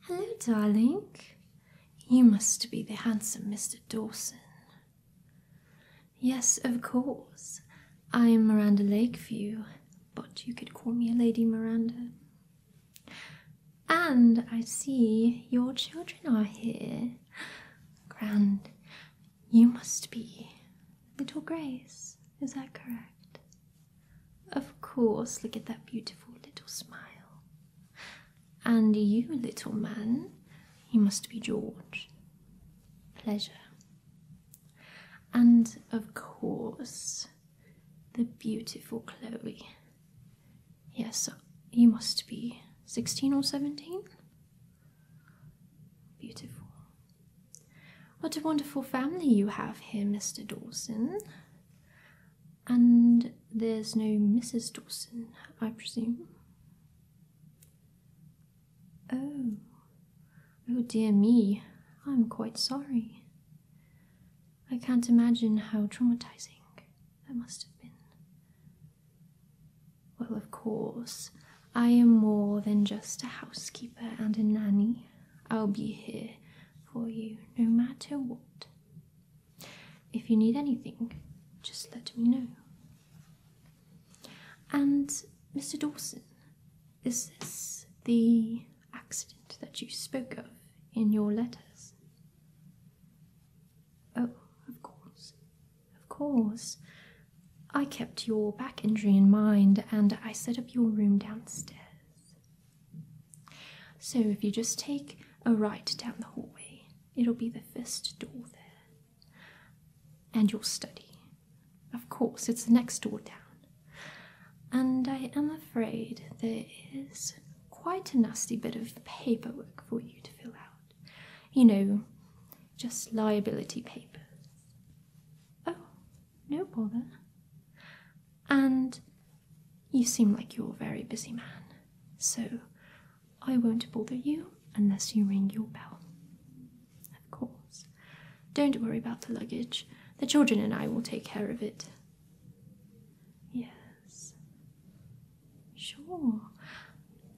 Hello, darling. You must be the handsome Mr. Dawson. Yes, of course. I'm Miranda Lakeview, but you could call me Lady Miranda. And I see your children are here. Grand, you must be little Grace, is that correct? Of course, look at that beautiful little smile. And you, little man, you must be George. Pleasure. And of course, the beautiful Chloe. Yes, you must be 16 or 17. Beautiful. What a wonderful family you have here, Mr. Dawson. And there's no Mrs. Dawson, I presume. Oh, oh dear me, I'm quite sorry. I can't imagine how traumatizing that must have been. Well, of course, I am more than just a housekeeper and a nanny. I'll be here for you no matter what. If you need anything, just let me know. And Mr. Dawson, is this the accident that you spoke of in your letters? Oh, of course, of course. I kept your back injury in mind and I set up your room downstairs. So if you just take a right down the hallway, it'll be the first door there. And your study. Of course, it's the next door down. And I am afraid there is quite a nasty bit of paperwork for you to fill out. You know, just liability papers. Oh, no bother. And you seem like you're a very busy man, so I won't bother you unless you ring your bell. Of course. Don't worry about the luggage. The children and I will take care of it. Yes. Sure.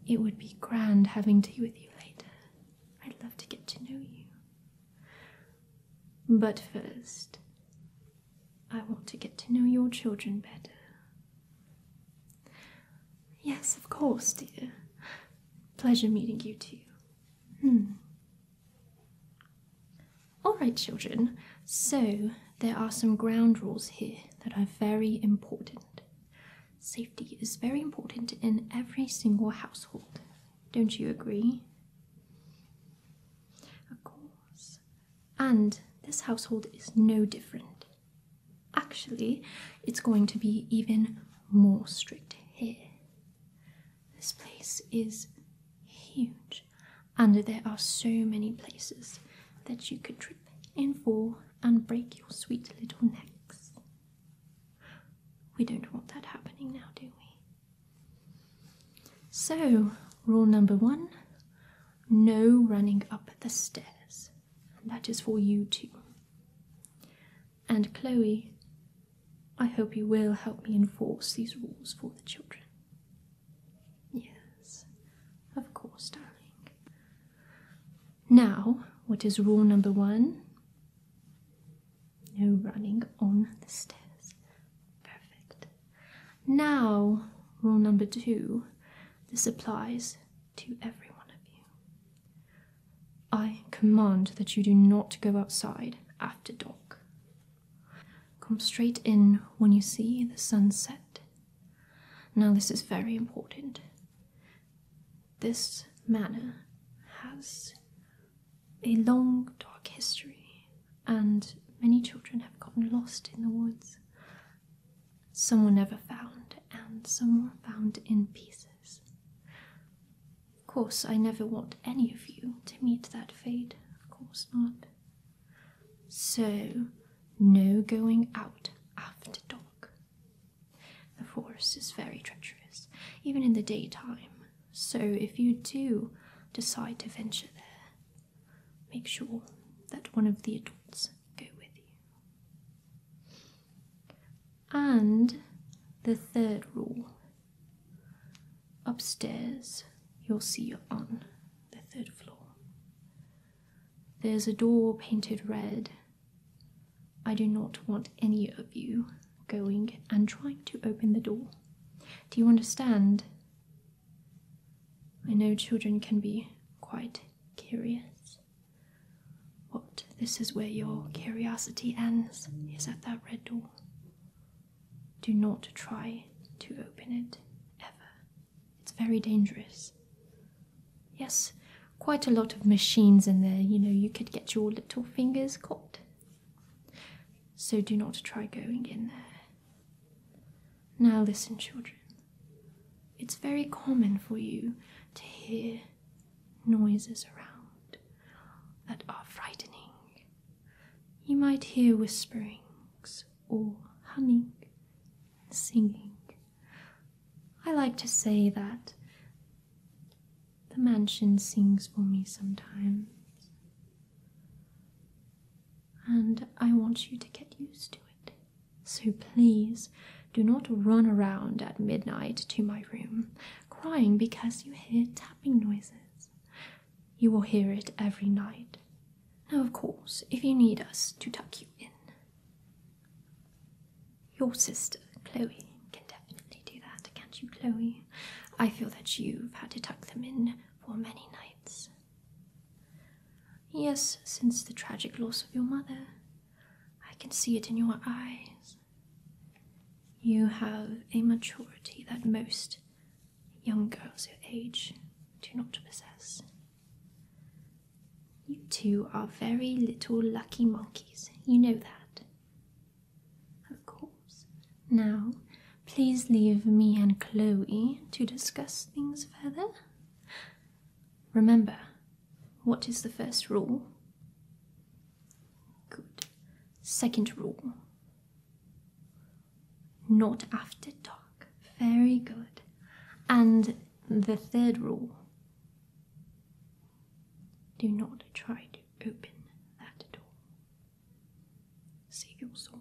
It would be grand having tea with you later. I'd love to get to know you. But first, I want to get to know your children better. Yes, of course, dear. Pleasure meeting you too. Hmm. All right, children. So, there are some ground rules here that are very important. Safety is very important in every single household. Don't you agree? Of course. And this household is no different. Actually, it's going to be even more strict here. This place is huge, and there are so many places that you could trip in for and break your sweet little necks. We don't want that happening now, do we? So, rule number one no running up the stairs. That is for you too. And Chloe, I hope you will help me enforce these rules for the children. Yes, of course, darling. Now, what is rule number one? No running on the stairs. Perfect. Now, rule number two. This applies to every one of you. I command that you do not go outside after dark. Come straight in when you see the sunset. Now, this is very important. This manor has a long, dark history, and many children have gotten lost in the woods. Some were never found, and some were found in pieces. Of course, I never want any of you to meet that fate. Of course not. So, no going out after dark. The forest is very treacherous, even in the daytime, so if you do decide to venture there, make sure that one of the adults go with you. And the third rule upstairs, you'll see you're on the third floor. There's a door painted red I do not want any of you going and trying to open the door. Do you understand? I know children can be quite curious. But This is where your curiosity ends, is at that red door. Do not try to open it, ever. It's very dangerous. Yes, quite a lot of machines in there, you know, you could get your little fingers caught. So do not try going in there. Now listen, children. It's very common for you to hear noises around that are frightening. You might hear whisperings or humming, singing, I like to say that the mansion sings for me sometimes. And I want you to get used to it. So please do not run around at midnight to my room crying because you hear tapping noises. You will hear it every night. Now, of course, if you need us to tuck you in, your sister, Chloe, can definitely do that, can't you, Chloe? I feel that you've had to tuck them in for many nights. Yes, since the tragic loss of your mother, I can see it in your eyes. You have a maturity that most young girls your age do not possess. You two are very little lucky monkeys, you know that. Of course. Now, please leave me and Chloe to discuss things further. Remember, what is the first rule? Good. Second rule. Not after dark. Very good. And the third rule do not try to open that door. Save your souls.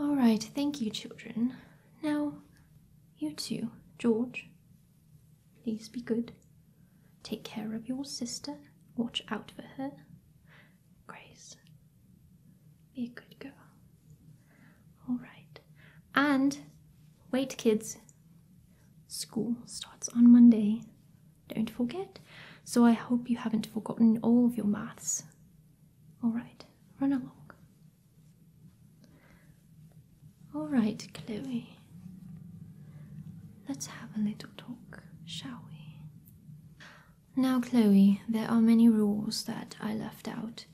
All right, thank you, children. Now, you two, George, please be good. Take care of your sister. Watch out for her. Grace. Be a good girl. All right. And wait, kids. School starts on Monday. Don't forget. So I hope you haven't forgotten all of your maths. All right. Run along. All right, Chloe. Let's have a little talk, shall we? Now, Chloe, there are many rules that I left out,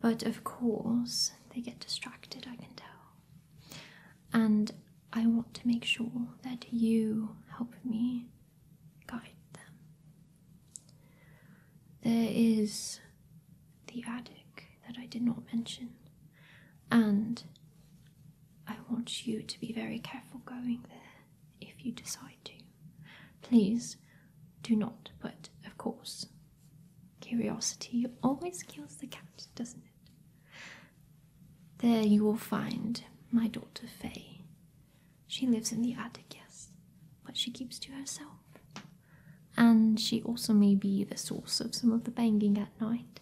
but of course they get distracted, I can tell. And I want to make sure that you help me guide them. There is the attic that I did not mention, and I want you to be very careful going there if you decide to. Please do not, but of course, curiosity always kills the cat, doesn't it? There you will find my daughter Fay. She lives in the attic, yes, but she keeps to herself. And she also may be the source of some of the banging at night.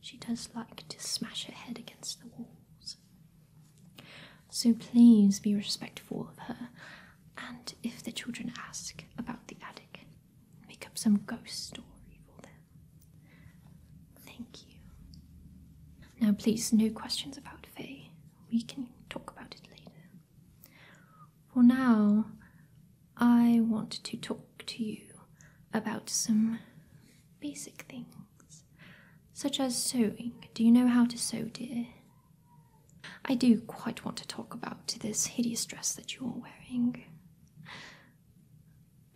She does like to smash her head against the walls. So please be respectful of her, and if the children ask about the attic, make up some ghost story for them. Thank you. Now, please, no questions about Faye. We can talk about it later. For now, I want to talk to you about some basic things such as sewing. Do you know how to sew, dear? I do quite want to talk about this hideous dress that you're wearing.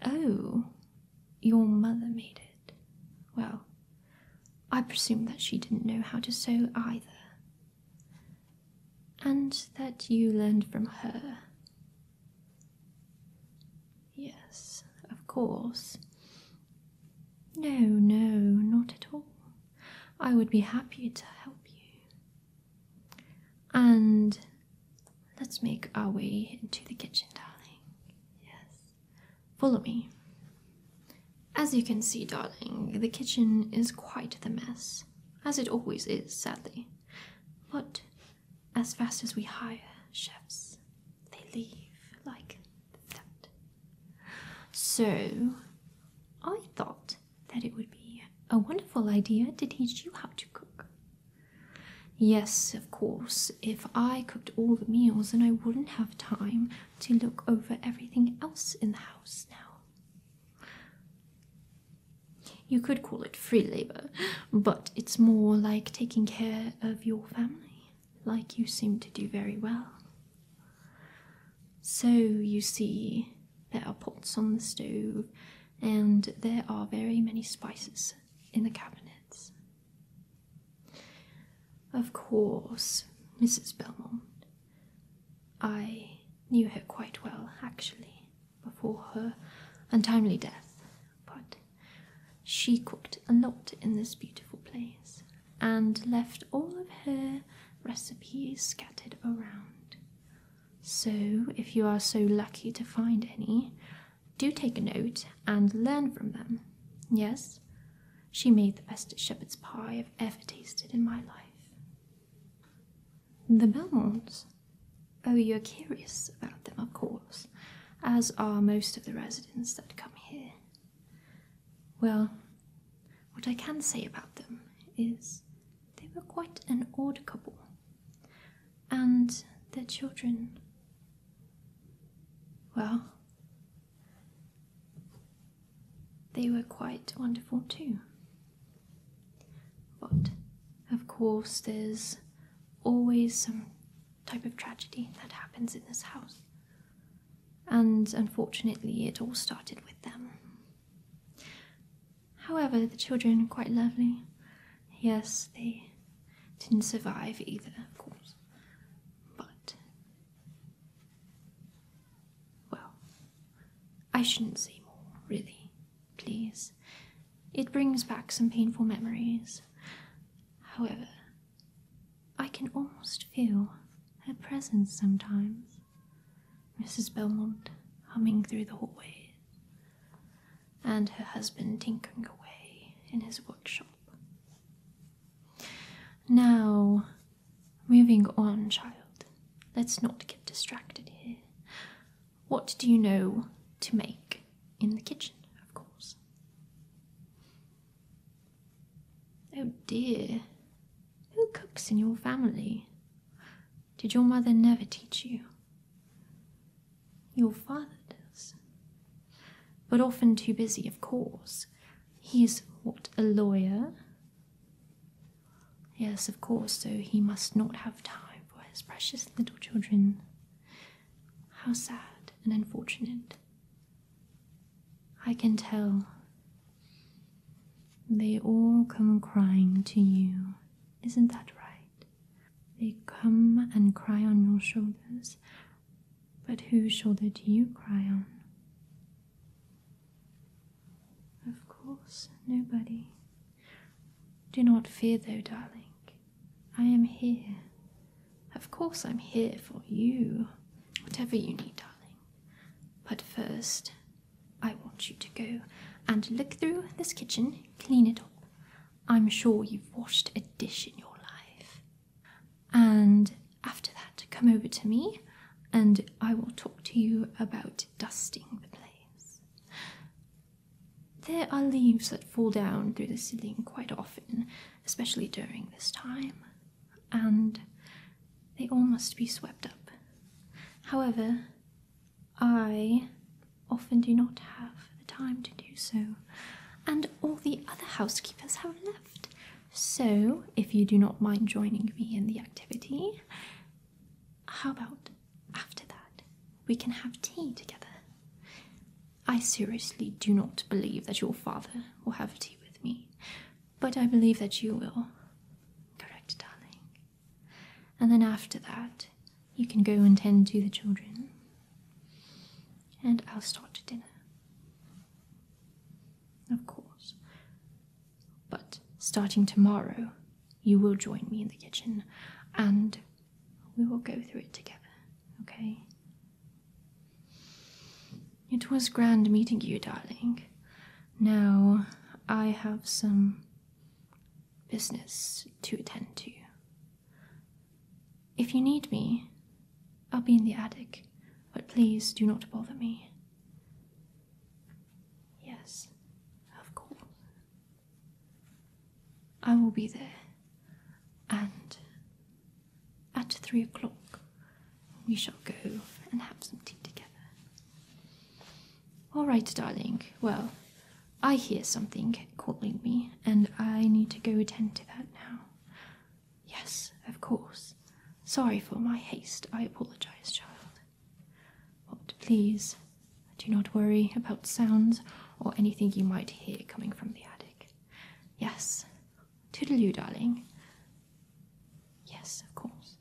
Oh, your mother made it. Well, I presume that she didn't know how to sew either. And that you learned from her. Yes, of course. No, no, not at all. I would be happy to help you. And let's make our way into the kitchen, darling. Yes. Follow me. As you can see, darling, the kitchen is quite the mess, as it always is, sadly. But as fast as we hire chefs, they leave like that. So I thought that it would be a wonderful idea to teach you how to cook. Yes, of course, if I cooked all the meals, then I wouldn't have time to look over everything else in the house now. You could call it free labor, but it's more like taking care of your family like you seem to do very well. So, you see, there are pots on the stove, and there are very many spices in the cabinets. Of course, Mrs. Bellmont. I knew her quite well, actually, before her untimely death but she cooked a lot in this beautiful place and left all of her recipes scattered around. So, if you are so lucky to find any, do take a note and learn from them. Yes, she made the best shepherd's pie I've ever tasted in my life. The bones. Oh, you're curious about them, of course, as are most of the residents that come here. Well, what I can say about them is they were quite an odd couple, and their children. Well, they were quite wonderful too. But, of course, there's always some type of tragedy that happens in this house. And unfortunately, it all started with them. However, the children are quite lovely. Yes, they didn't survive either, of course. But. Well, I shouldn't say more, really please. It brings back some painful memories. However, I can almost feel her presence sometimes. Mrs. Belmont humming through the hallway, and her husband tinkering away in his workshop. Now, moving on, child, let's not get distracted here. What do you know to make in the kitchen, of course? Oh dear, who cooks in your family? Did your mother never teach you? Your father does. But often too busy, of course. He's what, a lawyer? Yes, of course, so he must not have time for precious little children. How sad and unfortunate. I can tell. They all come crying to you. Isn't that right? They come and cry on your shoulders. But whose shoulder do you cry on? Of course, nobody. Do not fear, though, darling. I am here. Of course, I'm here for you. Whatever you need, darling. But first, I want you to go and look through this kitchen, clean it up. I'm sure you've washed a dish in your life. And after that, come over to me and I will talk to you about dusting the place. There are leaves that fall down through the ceiling quite often, especially during this time, and they all must be swept up. However, I often do not have the time to do so, and all the other housekeepers have left. So, if you do not mind joining me in the activity, how about after that we can have tea together? I seriously do not believe that your father will have tea with me, but I believe that you will. Correct, darling. And then after that, you can go and tend to the children, and I'll start to dinner. Of course, but starting tomorrow, you will join me in the kitchen and we will go through it together, okay? It was grand meeting you, darling. Now I have some business to attend to. If you need me, I'll be in the attic, but please do not bother me. Yes, of course. I will be there. And at three o'clock, we shall go and have some tea together. All right, darling. Well, I hear something calling me, and I need to go attend to that now. Yes, of course. Sorry for my haste. I apologize, child. But please do not worry about sounds or anything you might hear coming from the attic. Yes. Toodaloo, darling. Yes, of course.